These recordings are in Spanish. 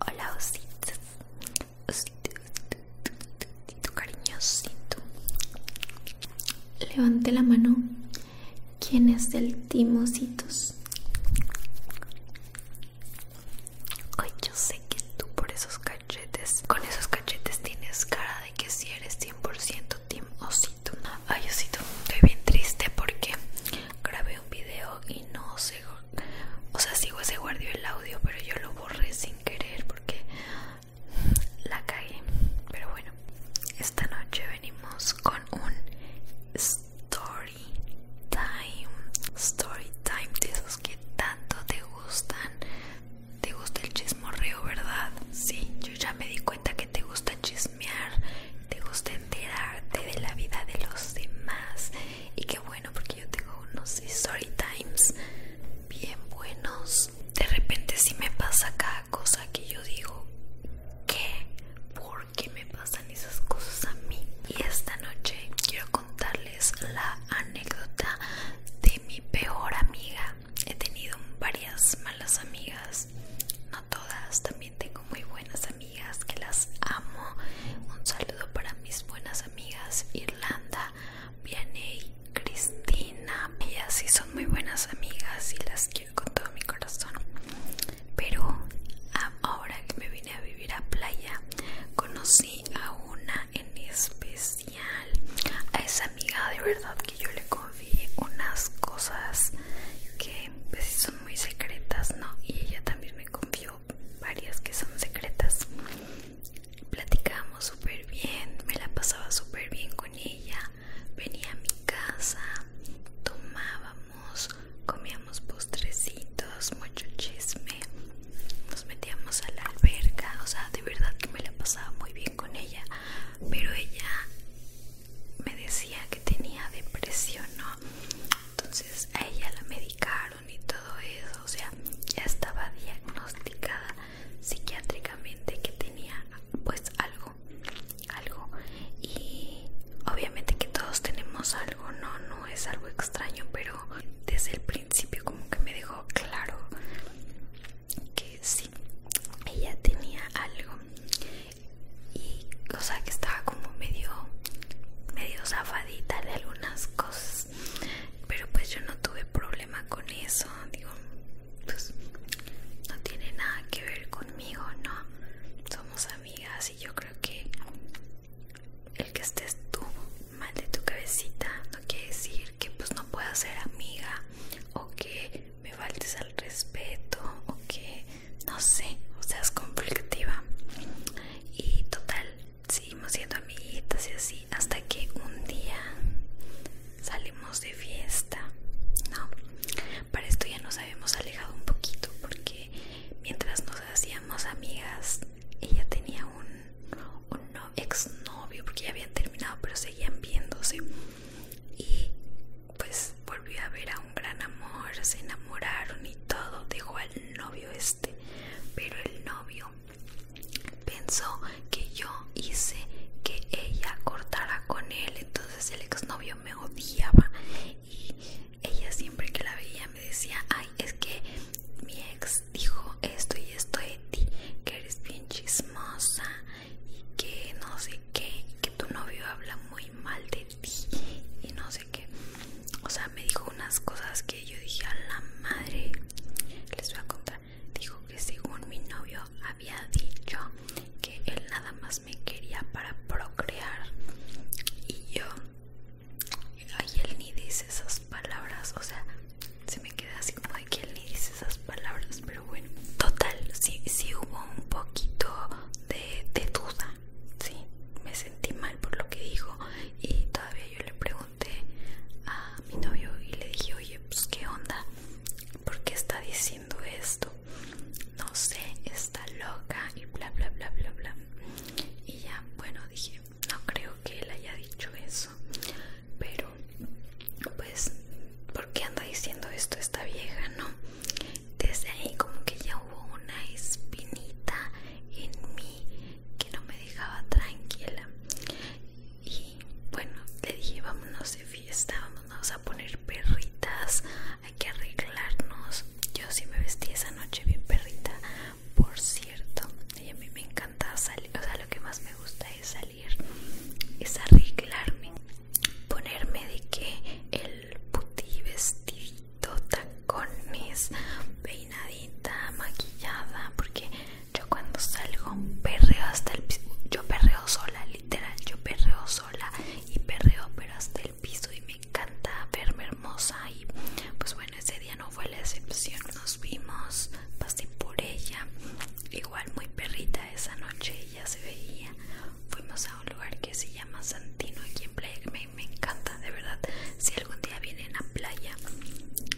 Hola ositos, osito, cariñosito. Levante la mano. ¿Quién es del timositos? Ay, yo sé que tú por esos cachetes, con esos cachetes tienes cara de que si eres 100% team osito. Ay, osito, estoy bien triste porque grabé un video y no sé, o sea, sigo se guardió el audio, pero yo lo borré sin querer porque la cagué. Pero bueno, esta noche venimos con un story time, story time de esos que tanto te gustan. Te gusta el chismorreo, ¿verdad? Sí, yo ya me di cuenta que te gusta chismear, te gusta enterarte de la vida de los demás. Y qué bueno, porque yo tengo unos story times bien buenos. De repente si me pasa cada cosa que yo digo, ¿qué? ¿Por qué me pasan esas cosas a mí? Y esta noche quiero contarles la anécdota de mi peor amiga. He tenido varias malas amigas, no todas, también tengo muy buenas amigas que las amo. Un saludo para mis buenas amigas Irlanda, Vianney, Cristina. Ellas sí son muy buenas amigas y las quiero con todo mi corazón. Pero ah, ahora que me vine a vivir a playa, conocí a una en especial a esa amiga de verdad que yo le confié unas cosas que pues, son muy secretas no y ella también me confió varias que son secretas platicábamos súper bien me la pasaba súper bien con ella venía a mi casa tomábamos comíamos postrecitos, mucho chisme, nos metíamos a la alberca, o sea, de verdad que me la pasaba muy bien con ella, pero ella me decía que tenía depresión, ¿no? Entonces a ella la medicaron y todo eso, o sea, ya estaba diagnosticada psiquiátricamente que tenía pues algo, algo, y obviamente que todos tenemos algo no, no es algo extraño, pero desde el principio como que me dejó claro que sí, ella tenía algo y o sea que estaba como medio, medio zafadita de algunas cosas, pero pues yo no tuve problema con eso, digo, pues no tiene nada que ver conmigo, no, somos amigas y yo creo que el que estés tú mal de tu cabecita no quiere decir que pues no pueda ser amiga o que me faltes al respeto o que no sé, o seas conflictiva. Y total, seguimos siendo amiguitas y así hasta que un día salimos de fiesta, ¿no? Para esto ya nos habíamos alejado un poquito porque mientras nos hacíamos amigas ella tenía un, exnovio porque ya habían terminado pero seguían viéndose y pues volvió a ver a un gran amor, se enamoraron y todo, dejó al novio este, pero el novio pensó que yo hice que ella cortara con él, entonces el exnovio me odiaba y ella siempre que la veía me decía, ay, es que mi ex dijo esto y esto de ti, que eres bien chismosa y que no sé qué, que tu novio habla muy mal de ti y no sé qué. O sea, me dijo unas cosas que yo dije a la madre, les voy a contar. Dijo que según mi novio había dicho que él nada más me quería para procrear y yo Ay, él ni dice esas palabras, o sea, se me queda así como de que él ni dice esas palabras, pero bueno. Total, sí, hubo un poquito de, de duda, sí, me sentí mal por lo que dijo y todavía yo le pregunté a mi novio y le dije, oye, pues qué onda, ¿por qué está diciendo esto? No sé, está loca y bla, bla, bla, bla, bla y ya bueno dije no creo que él haya dicho eso pero pues ¿por qué anda diciendo esto esta vieja no desde ahí como que ya hubo una espinita en mí que no me dejaba tranquila y bueno le dije vámonos de fiesta vámonos a poner perritas hay que arreglarnos. Yo sí me vestí esa noche bien perrita, por cierto. Y a mí me encanta salir, o sea, lo que más me gusta es salir, es arreglarme, ponerme de que el puti vestidito, tacones, peinadita, maquillada, porque yo cuando salgo perreo hasta el yo perreo sola, literal, yo perreo sola y perreo pero hasta el piso y me encanta verme hermosa y pues bueno ese día no fue la excepción nos vimos pasé por ella igual muy perrita esa noche ella se veía fuimos a un lugar que se llama Santino aquí en Playa me, me encanta de verdad si algún día vienen a Playa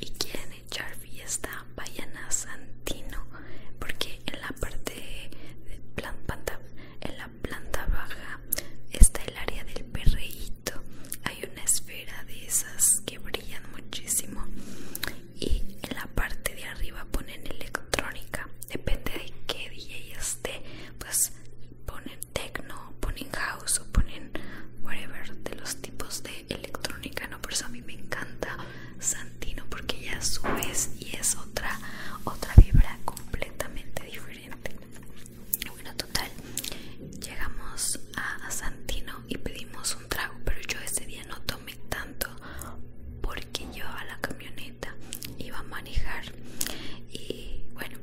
y quieren echar fiesta vayan a Santino porque en la parte de plan en la planta baja está el área del perrito Hay una esfera de esas que brillan muchísimo. Y en la parte de arriba ponen electrónica. Depende de qué DJ esté. Pues ponen techno, ponen house o ponen whatever de los tipos de electrónica. No, por eso a mí me encanta Santino porque ya su vez y es otra, otra vibra completamente diferente bueno, total, llegamos a Santino y pedimos un trago, pero yo ese día no tomé tanto porque yo a la camioneta iba a manejar y bueno,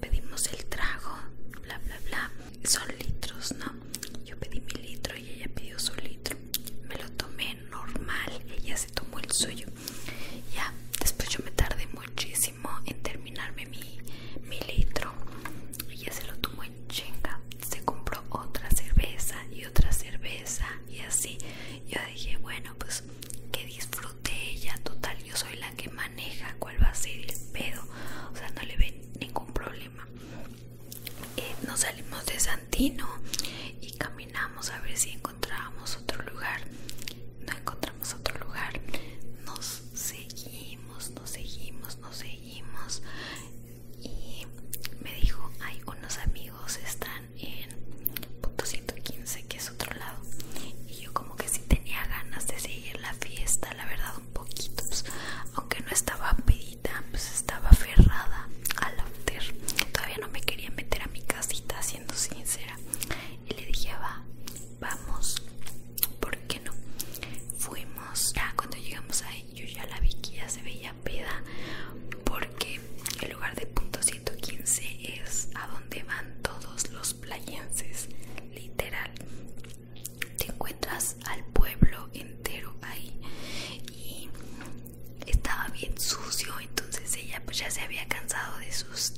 pedimos el trago, bla, bla, bla. Son litros, ¿no? Yo pedí mi litro y ella pidió su litro. Me lo tomé normal, ella se tomó el suyo ya después yo me tardé muchísimo en terminarme mi, mi litro ella se lo tomó en chinga se compró otra cerveza y otra cerveza y así yo dije bueno pues que disfrute ella total yo soy la que maneja cuál va a ser el pedo o sea no le ve ningún problema eh, nos salimos de Santino y caminamos a ver si encontrábamos otro lugar. No encontramos otro lugar. Nos seguimos, nos seguimos, nos seguimos. Y me dijo, hay unos amigos, están en punto 115, que es otro lado. Y yo como que si tenía ganas de seguir la fiesta, la verdad, un poquito. Pues, aunque no estaba pedita, pues estaba aferrada al hotel Todavía no me quería meter a mi casita, siendo sincera y le dije va vamos ¿por qué no? fuimos ya cuando llegamos ahí yo ya la vi que ya se veía peda porque el lugar de punto 115 es a donde van todos los playenses literal te encuentras al pueblo entero ahí y estaba bien sucio entonces ella pues ya se había cansado de sus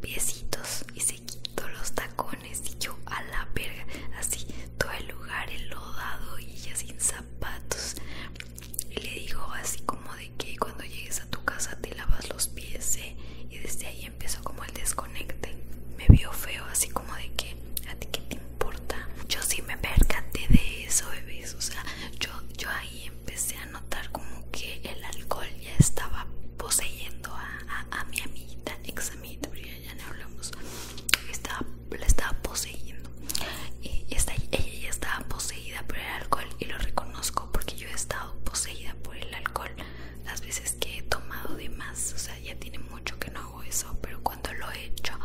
piecitos y se quitó los tacones y yo a la verga, así todo el lugar enlodado y ella sin zapatos. Y le dijo así como de que cuando llegues a tu casa te lavas los pies ¿eh? y desde ahí empezó como el desconecte. Me vio feo así como de que a ti que te importa. Yo si me percaté de eso, bebés, o sea, yo, yo ahí y empecé a notar como que el alcohol ya estaba poseyendo a, mi amiguita, ex amiguita, ya, no hablamos, estaba, la estaba poseyendo. Y está, ella ya estaba poseída por el alcohol y lo reconozco porque yo he estado poseída por el alcohol las veces que he tomado de más. O sea, ya tiene mucho que no hago eso, pero cuando lo he hecho,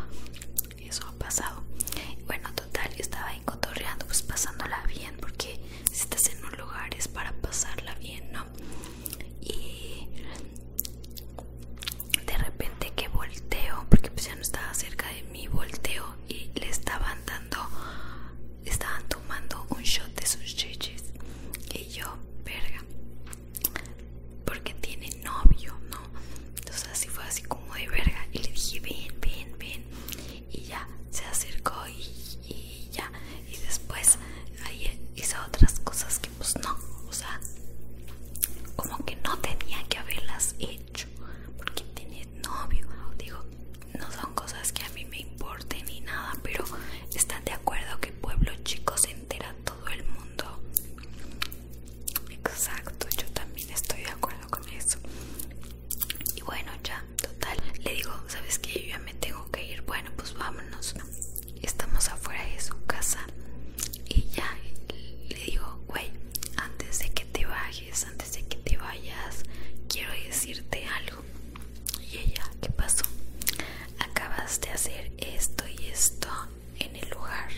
eso ha pasado. Bueno, total, estaba cotorreando, pues pasándola bien, porque si estás en un lugar es para pasarla bien, ¿no? Y de repente que volteo, porque pues ya no estaba cerca de mí, volteo y le estaban dando, estaban tomando un shot de sus chiches Y yo, verga, porque tiene novio, ¿no? Entonces así fue así como de verga. Y le dije, ven, ven, ven y ya se acercó y, ya y después hizo otras cosas que pues no o sea como que no tenía que haberlas hecho porque tenía novio digo no son cosas que a mí me importen ni nada pero están de acuerdo que pueblo chico se entera todo el mundo exacto yo también estoy de acuerdo con eso y bueno, ya, total. Le digo, ¿sabes que Yo ya me tengo que ir. Bueno, pues vámonos. Estamos afuera de su casa. Y ya le digo, güey, antes de que te bajes, antes de que te vayas, quiero decirte algo. Y ella, ¿qué pasó? Acabas de hacer esto y esto en el lugar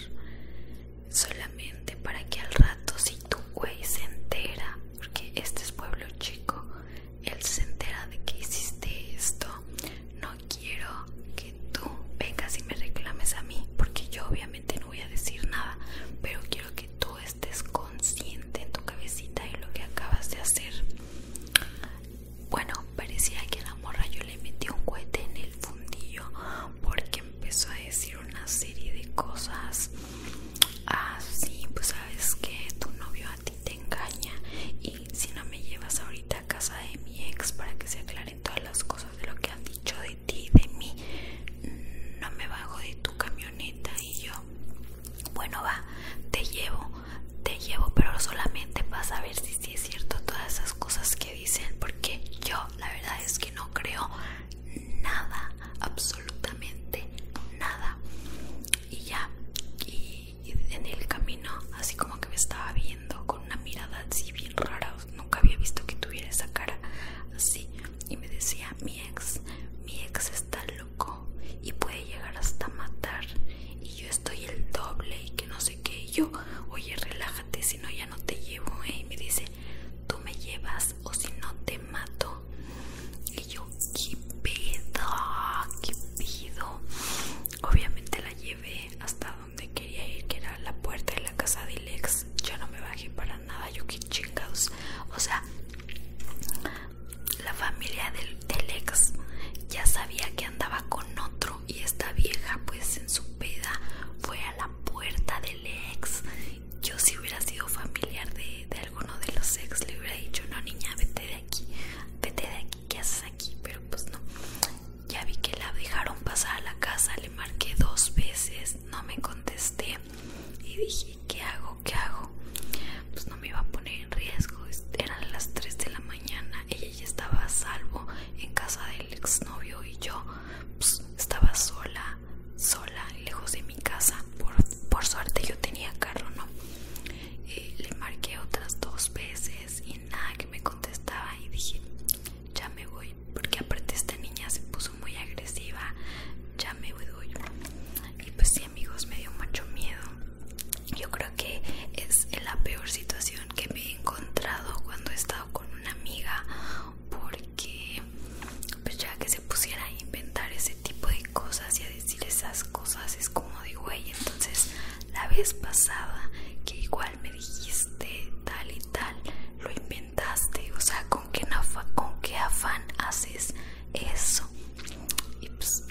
solamente para que al rato si tu güey se entera, porque este es pueblo chico, él se entera de que hiciste esto, no quiero que tú vengas y me reclames a mí, porque yo obviamente no voy a decir nada, pero quiero que tú estés consciente en tu cabecita de lo que acabas de hacer. Bueno, parecía que a la morra yo le metí un cohete en el fundillo porque empezó a decir una serie de cosas así, pues sabes que tu novio a ti te engaña y si no me llevas ahorita a casa de mi ex para que se aclaren todas las cosas de lo que han dicho de ti y de mí, no me bajo de tu camioneta y yo, bueno va, te llevo, te llevo, pero solamente para saber si, si es cierto todas esas cosas que dicen, porque yo la verdad es que no creo nada, absolutamente nada. Y ya, y, en el camino, así como que me estaba viendo con una mirada así bien rara, nunca había visto que tuviera esa cara así. Y me decía, mi ex, mi ex está loco y puede llegar hasta matar. Y yo estoy el doble y que no sé qué. Y yo, oye, relájate, si no ya no te llevo. Eh". Y me dice, tú me llevas o si no te mato. Y yo, ¿qué pedo? ¿Qué pido? Obviamente la llevé hasta donde quería ir, que era la puerta de la casa de Lex. Yo no me bajé para nada, yo qué chingados. O sea, la familia del, del ya sabía que andaba con otro y esta vieja pues en su peda fue a la puerta del Lex yo si hubiera sido familiar de, alguno de los ex le hubiera dicho, no niña, vete de aquí, vete de aquí, ¿qué haces aquí? Pero pues no, ya vi que la dejaron pasar a la casa, le marqué dos veces, no me contesté y dije, ¿qué hago? ¿Qué hago? Pues no me iba a poner en riesgo, eran las 3 de la mañana, ella ya estaba a salvo en casa del ex novio y yo pues, estaba sola sola, lejos de mi casa. Por, suerte yo tenía carro, ¿no? Eh, le marqué otras dos veces y nada que me contestaba y dije, ya me voy, porque aparte esta niña se puso muy agresiva, ya me voy. Y pues sí amigos, me dio mucho miedo. Yo creo que es la peor situación que me he encontrado cuando he estado con una amiga que pues ya que se pusiera a inventar ese tipo de cosas y a decir esas cosas es como digo güey entonces la vez pasada que igual me dijiste tal y tal lo inventaste o sea con qué, con qué afán haces eso y pues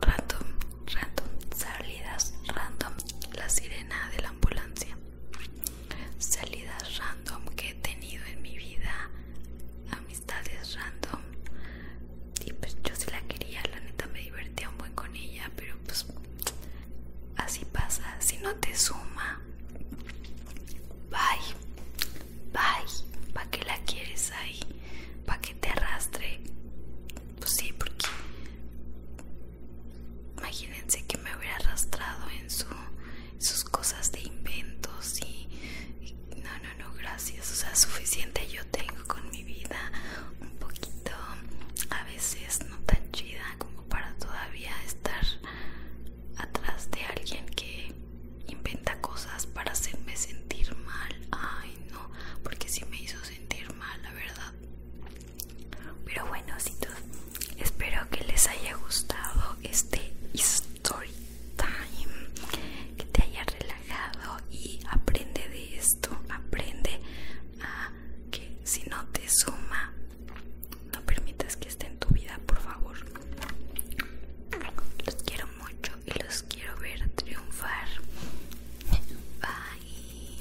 random random salidas random la sirena de la ambulancia salidas random que he tenido en mi vida, amistades random. Y pues yo sí la quería, la neta me divertía un buen con ella, pero pues así pasa, si no te suma. Bye, bye, Pa' que la quieres ahí? ¿Para que te arrastre? Pues sí, porque Imagínense que me hubiera arrastrado en sus cosas de inventos y, no, no, no, gracias. O sea, suficiente yo tengo con mi vida un poquito, a veces no tan chida como para todavía estar atrás de alguien que inventa cosas para hacerme sentir mal. Ay, no, porque si me hizo sentir mal, la verdad. Pero bueno, tú. espero que les haya gustado este story time, que te haya relajado y aprende de esto, aprende a que si no te suma, no permitas que esté en tu vida, por favor. Los quiero mucho y los quiero ver triunfar. Bye.